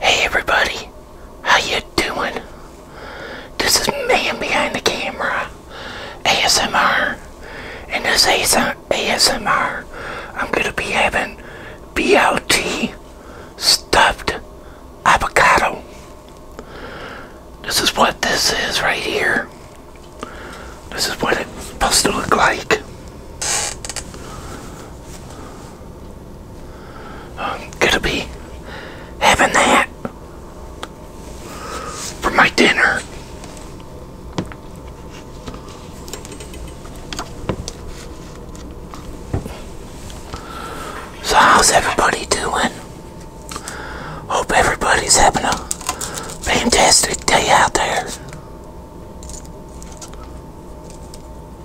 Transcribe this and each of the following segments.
Hey everybody, how you doing? This is man behind the camera, ASMR, and this uh, ASMR, I'm gonna be having BLT stuffed avocado. This is what this is right here. This is what it's supposed to look like. I'm gonna be having that for my dinner. So how's everybody doing? Hope everybody's having a fantastic day out there.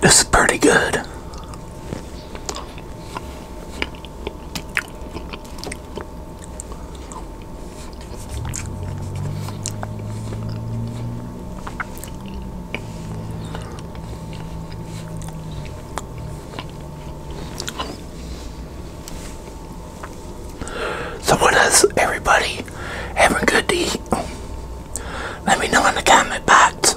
This is pretty good. So has everybody having good to eat? Let me know in the comment box.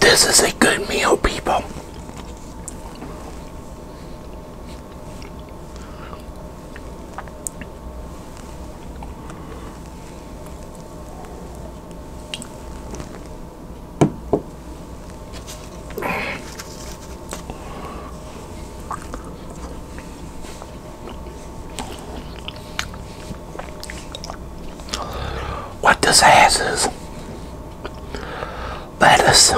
This is a good meal, people. What this has is lettuce,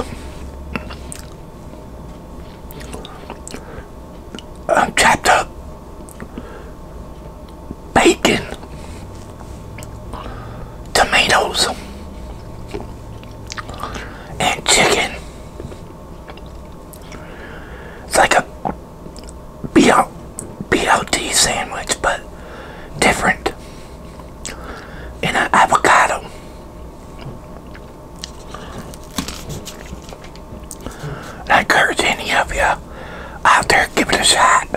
um, chopped up bacon, tomatoes, and chicken. It's like a BL, BLT sandwich, but different. In an avocado. I encourage any of you out there, give it a shot.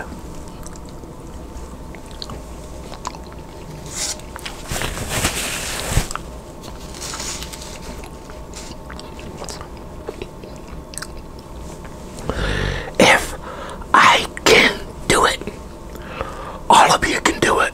If I can do it, all of you can do it.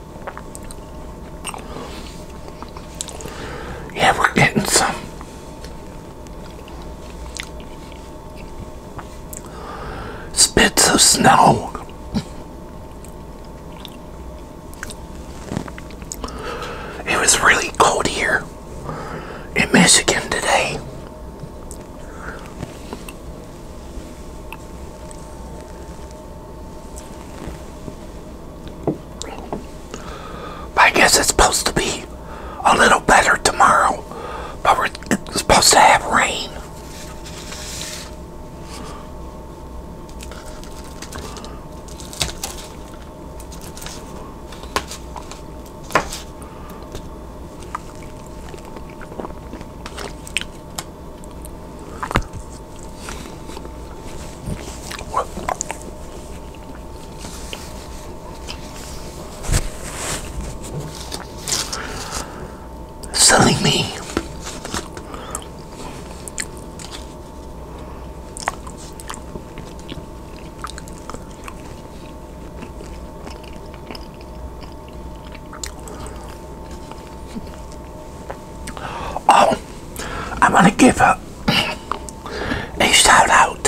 Yeah, we're getting some spits of snow. It was really cold here in Michigan today. I guess it's supposed to be a little better tomorrow, but we're supposed to have rain. What? Selling me Oh, I'm going to give a, a shout out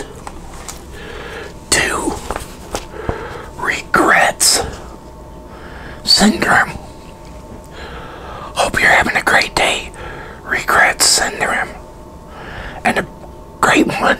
to Regrets Syndrome. Hope you're having a great day, Regrets Syndrome, and a great one.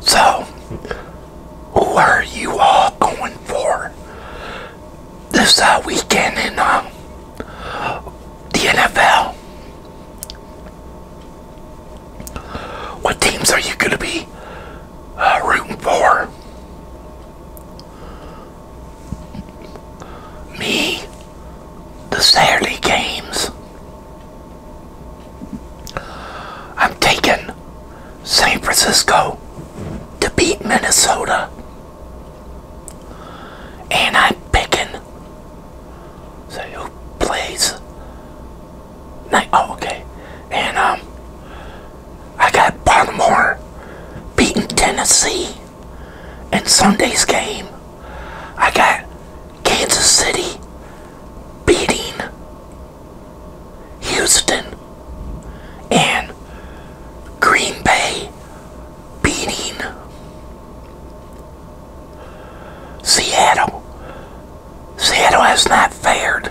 So, who are you all going for this uh, weekend in um, the NFL? What teams are you going to be uh, rooting for? Me, the Saturday games. I'm taking San Francisco to beat Minnesota. And I'm picking so who plays night oh okay. And um I got Baltimore beating Tennessee in Sunday's game. I got Kansas City beating Houston and Green Bay beating Seattle. Seattle has not fared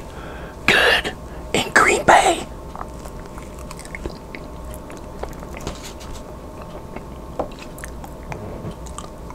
good in Green Bay.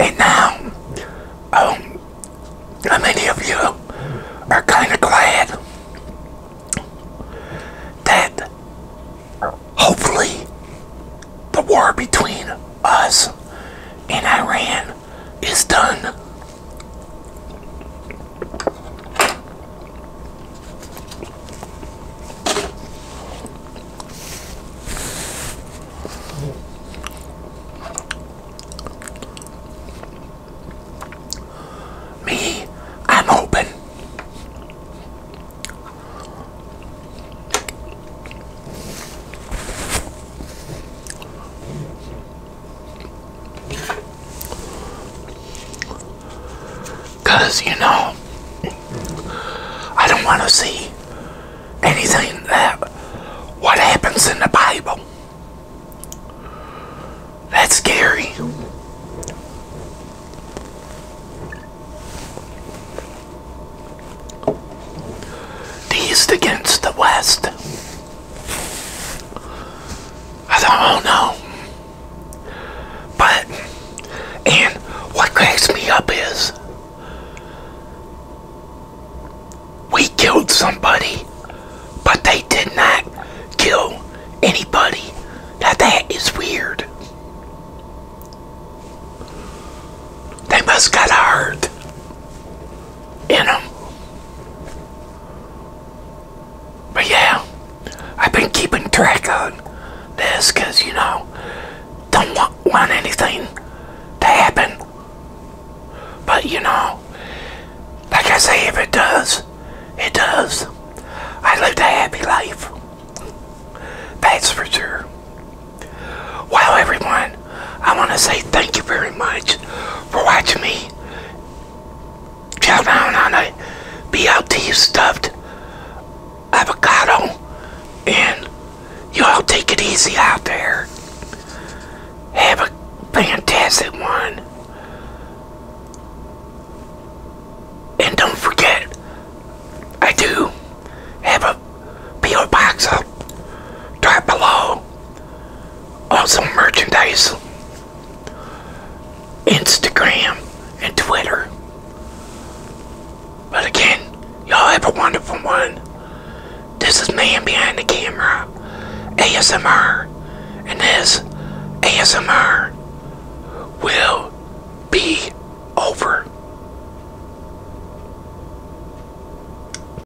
And now, um, how many of you are kind of glad that hopefully the war between us and Iran it's done. Me, I'm open. Because, you know, I don't want to see anything that what happens in the Bible. That's scary. East against the West. I don't know. But, and what cracks me up is we killed somebody, but they did not kill anybody. Now that is weird. They must got hurt in them. But yeah, I've been keeping track on this because, you know, don't want, want anything to happen. But, you know, like I say, if it does, it does. I lived a happy life. That's for sure. Wow, everyone. I want to say thank you very much for watching me chow down on a BLT stuffed avocado. And you all take it easy out there. Have a fantastic one. And don't forget, I do have a P.O. box up. Drop below. Also merchandise, Instagram, and Twitter. But again, y'all have a wonderful one. This is Man Behind the Camera, ASMR, and this ASMR will be over.